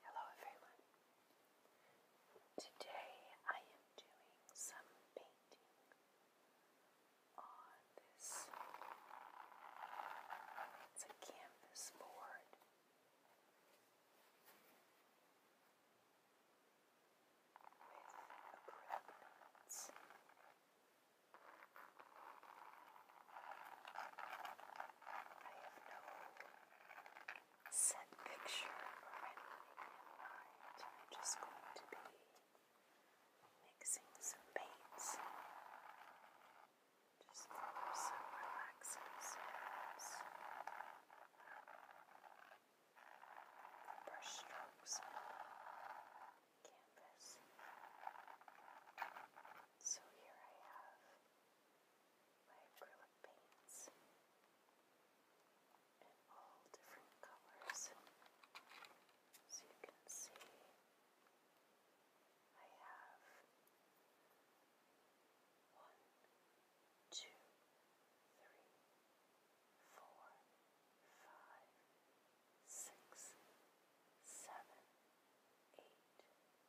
Hello everyone. Today I am doing some painting on this. It's a canvas board. With acrylic paints. I have no set picture in mind. I'm just going to be mixing some paints. Just some relaxing sounds. Brush strokes canvas. So here I have by acrylic paints in all different colors. So you can see I have one, two, three, four, five, six, seven, eight,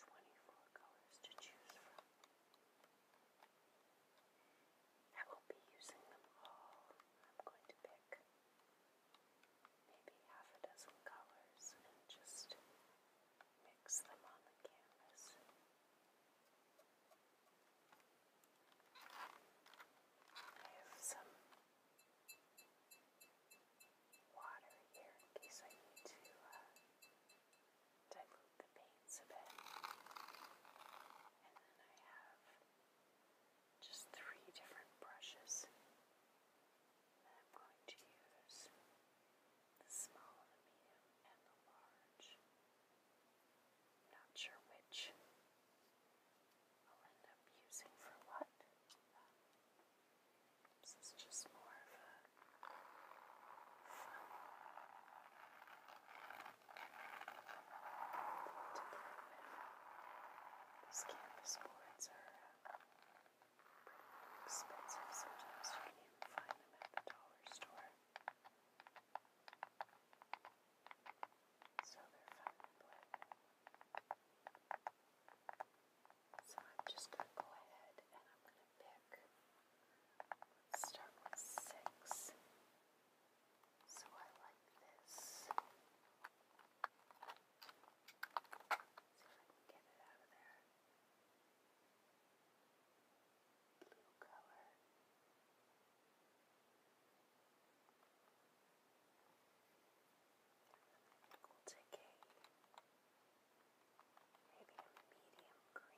24 colors to choose from. I will be using them all. I'm going to pick maybe half a dozen colors and just mix them on the canvas. I have some water here in case I need to uh, dilute the paints a bit. And then I have just three different brushes that I'm going to use the small, the medium, and the large. not sure which I'll end up using for what. This is just more of a fun to play with. These canvas boards are uh, pretty expensive. Sometimes you can even find them at the dollar store. So they're fun to play So I'm just going to go ahead and I'm going to pick Start with six. So I like this. see if I can get it out of there. Blue color. We'll maybe a medium green.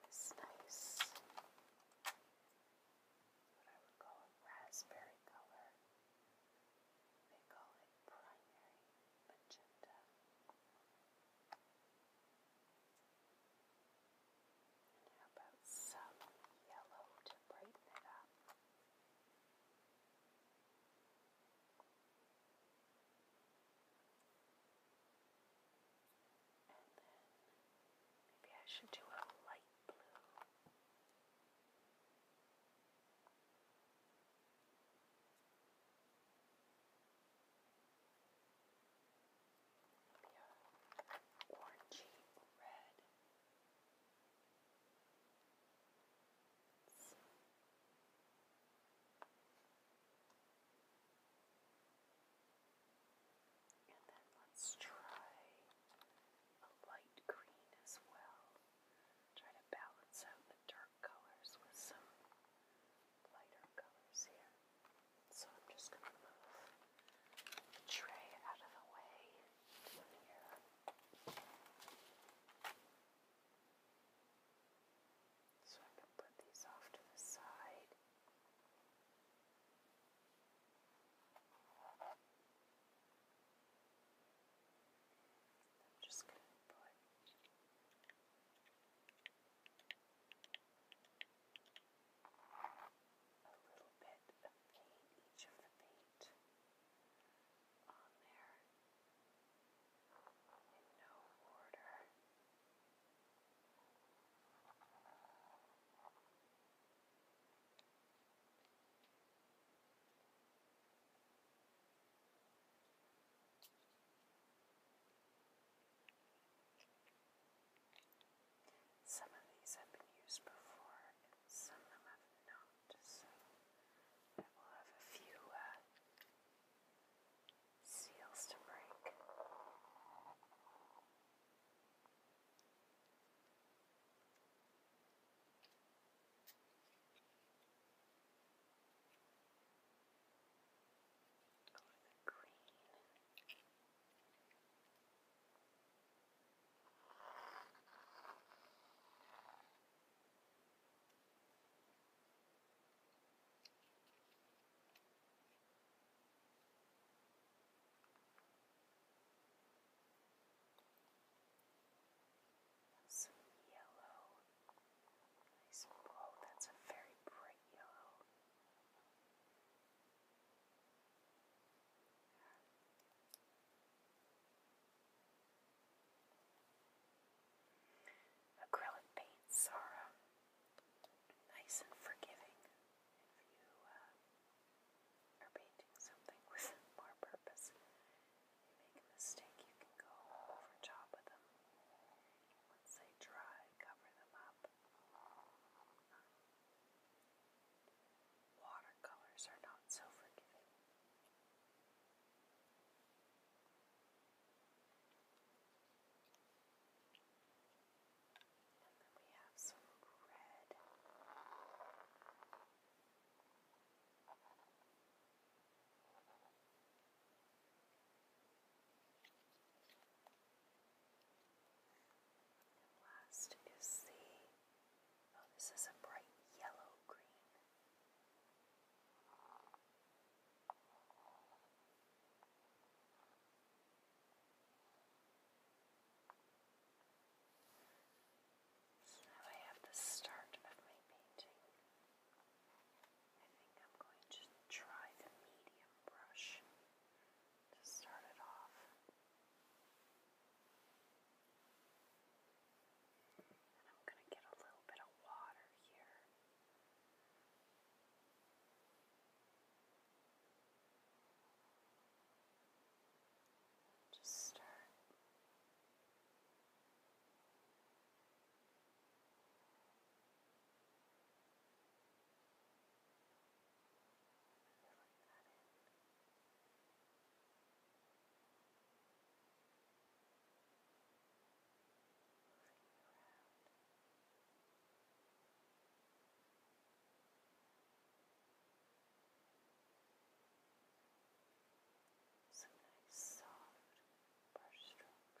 This nice, what I would call a raspberry color. They call it primary magenta. how about some yellow to brighten it up? And then maybe I should do a light blue. Maybe a orangey red. And then let's try a light green as well. Try to balance out the dark colors with some lighter colors here. So I'm just going to move the tray out of the way here. So I can put these off to the side. I'm just going to put a little bit of paint, each of the paint on there in no order. Some of these have been used before, and some of them have not just so I will have a few uh, seals to break. Over the green. Some yellow. Nice. Whoa, that's a very bright yellow. Acrylic paints are nice and forgiving if you uh, are painting something with more purpose. make a mistake, you can go over top of them. Once they dry, cover them up. Watercolors are not so forgiving. And then we have some red. And last is the Oh, this is a bright yellow green. So now I have the start of my painting. I think I'm going to try the medium brush to start it off. I'm going to get a little bit of water here. Just stir some nice soft brush strokes. Now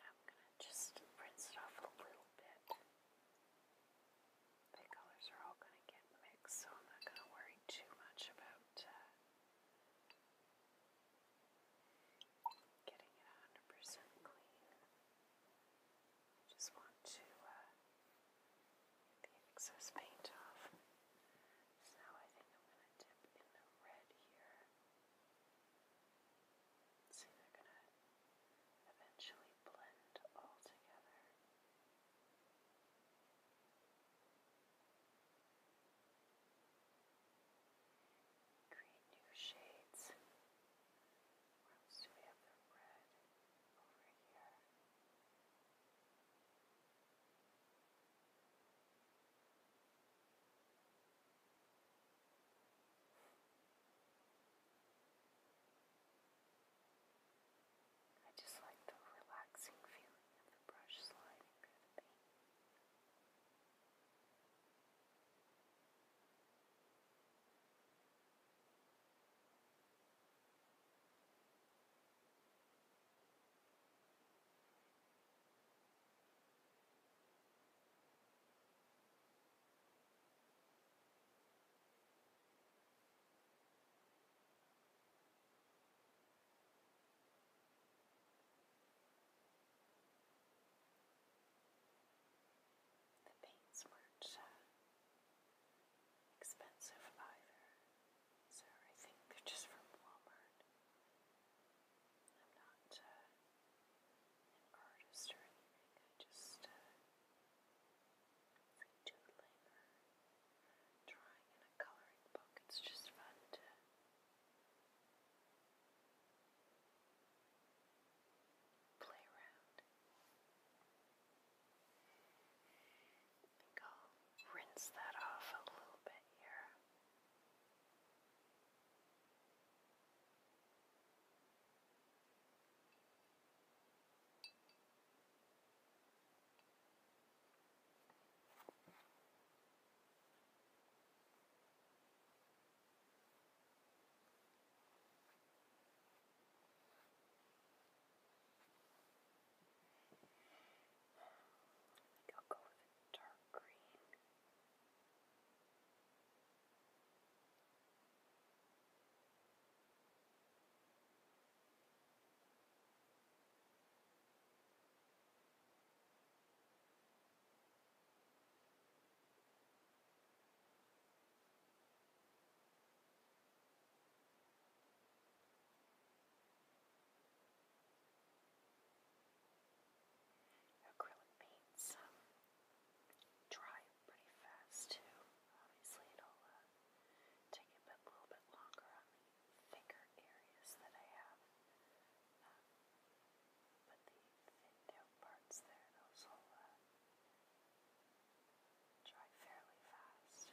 I'm gonna just rinse it off a little bit. The colors are all gonna get mixed, so I'm not gonna worry too much about uh, getting it 100% clean. I just want to uh, get the excess paint off. So I think I'm gonna dip in the red here. See, they're going to eventually blend all together. Create new shades. we have the red over here? I just like the relaxing feeling of the brush sliding through the paint. The paints weren't uh, expensive either, so I think they're just from Walmart. I'm not uh, an artist or anything, I just uh, doodling drawing in a coloring book. It's just fun to play around. I think I'll rinse that off a little bit here. I'll go with a dark green. Acrylic paints um, dry pretty fast too. Obviously, it'll uh, take a little bit longer on the thicker areas that I have. Um, but the thinned out parts there, those will uh, dry fairly fast.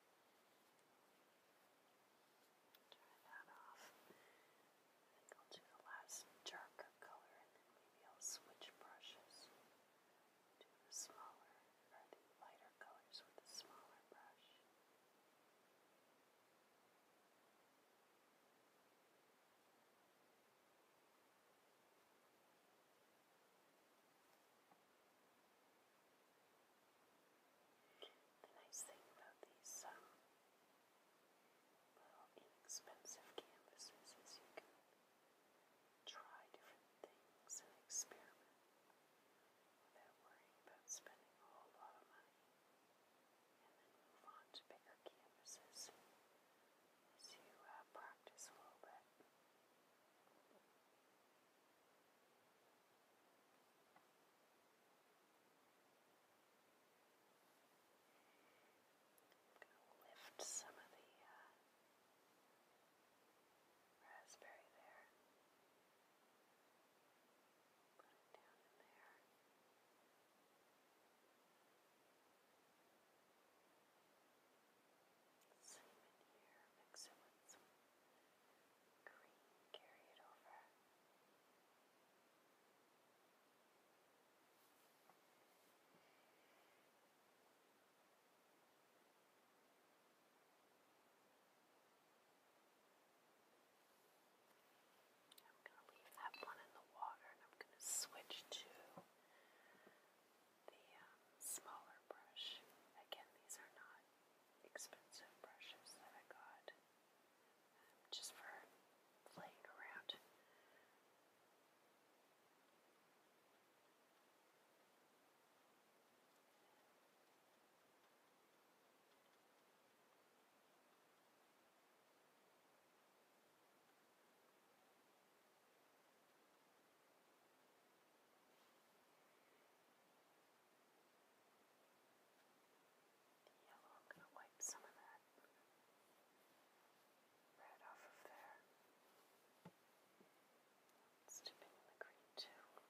Turn that off. I think I'll do the last dark color and then maybe I'll switch brushes. Do the smaller lighter colors with the smaller brush. The nice thing about these um, little inexpensive canvases is you can try different things and experiment without worrying about spending a whole lot of money and then move on to bigger canvases as uh, practice a little bit. I'm going to lift some of the uh, raspberry there. Put it down in there. Same in here. Mix it with some green, carry it over. I'm going to leave that one in the water and I'm going to switch to the um, smaller brush. Again, these are not expensive brushes that I got um, just for playing around. Yellow, I'm going to wipe some of that red off of there. Let's dip in the green too. There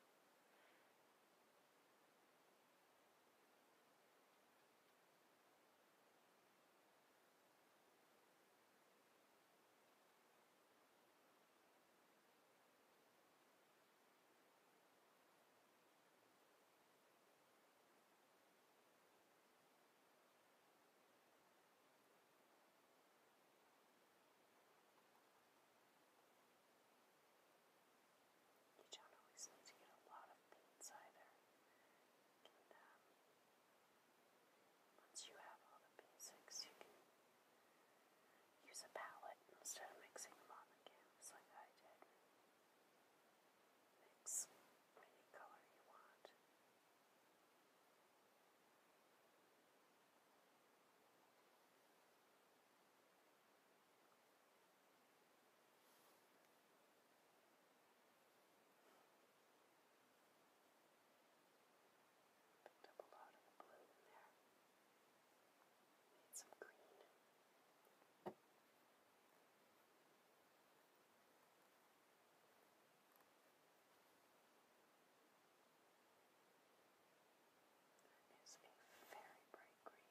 you don't always need to get a lot of beans either. And, um, once you have all the basics, you can Use a palette instead of mixing them on the canvas like I did. Mix any color you want. Picked up a lot of the blue in there. Need some green. That is a very bright green.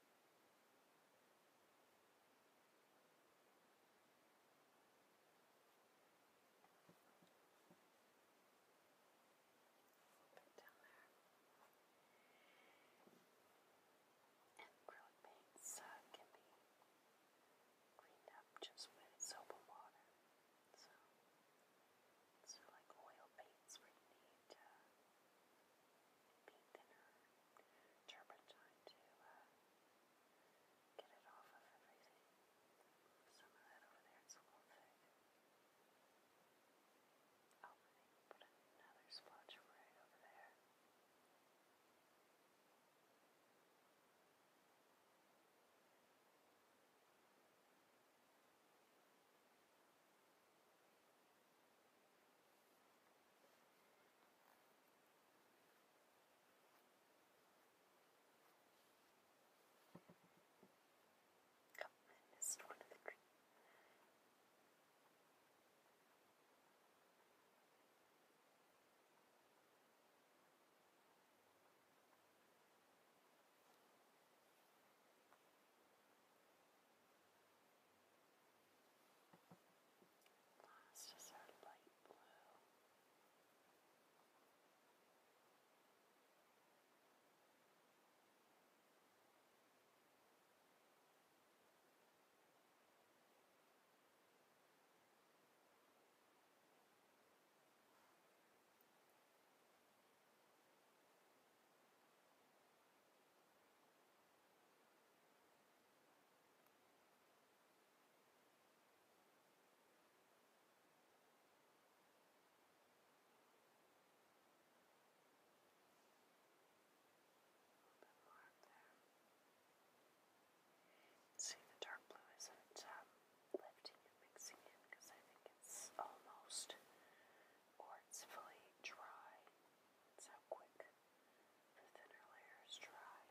bit down there. And acrylic paints uh, can be cleaned up just with soap and water. So, these are like oil paints where you need to be thinner turpentine to uh, get it off of everything. Some of that over there, it's a little thick. I oh, will put another splotch right over there. Oh, I missed one of the trees. That's oh, just sort of light blue bit more up there. See, the dark blue isn't um, lifting and mixing in because I think it's almost or it's fully dry. That's how quick and thinner layers dry.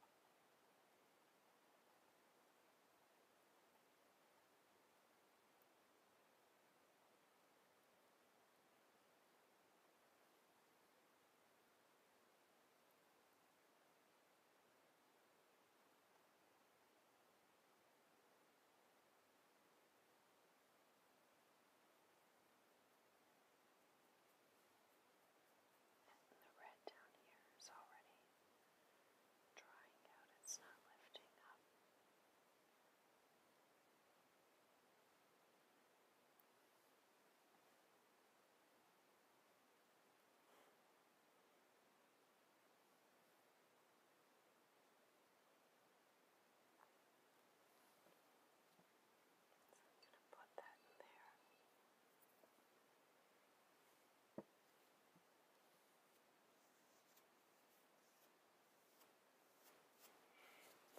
Now and the red down here is already drying out, it's not lifting up.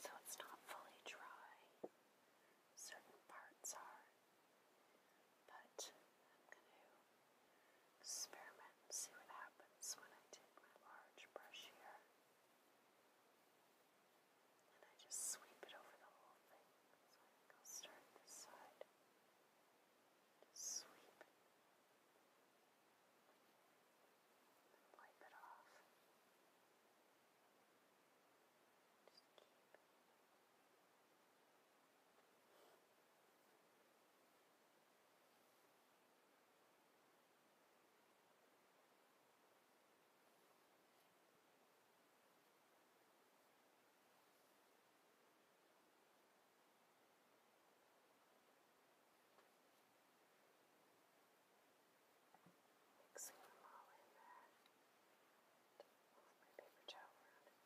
So i it's not fully dry. Certain parts are, but I'm going to experiment and see what happens when I take my large brush here and I just sweep it over the whole thing. So I think I'll start this side. Just sweep it. wipe it off. Just keep Mixing them all in there. And move my paper towel around.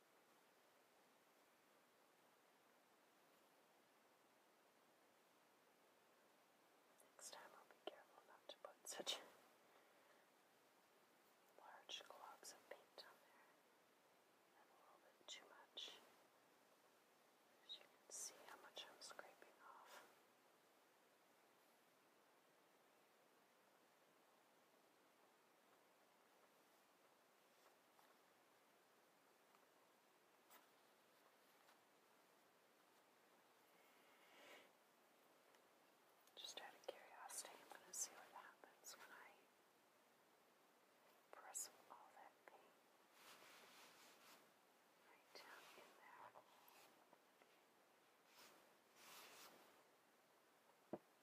Next time I'll be careful not to put such large globs of paint on there, and a little bit too much. As you can see how much I'm scraping off. Now just out of curiosity, I'm going to see what happens when I press all that paint right down in there.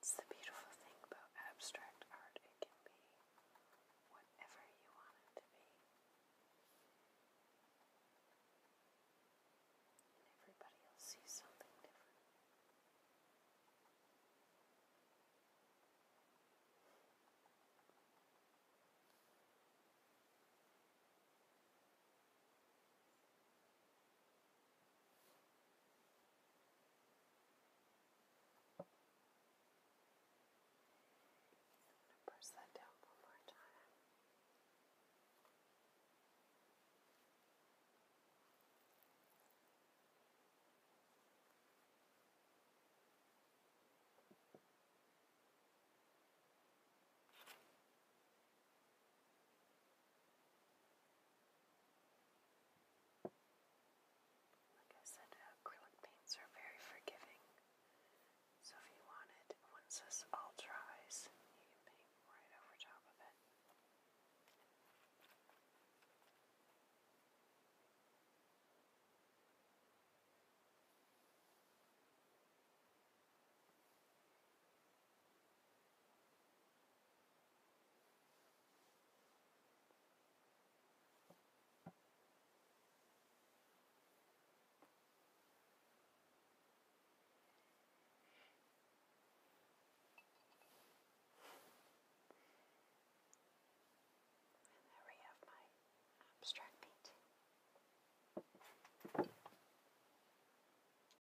It's the beautiful thing about abstract art, it can be whatever you want it to be. And everybody will see something different. Press that down one more time. All like I said, uh, acrylic paints are very forgiving. So if you want it, once this all dries, you can paint right over top of it. And there we have my abstract painting.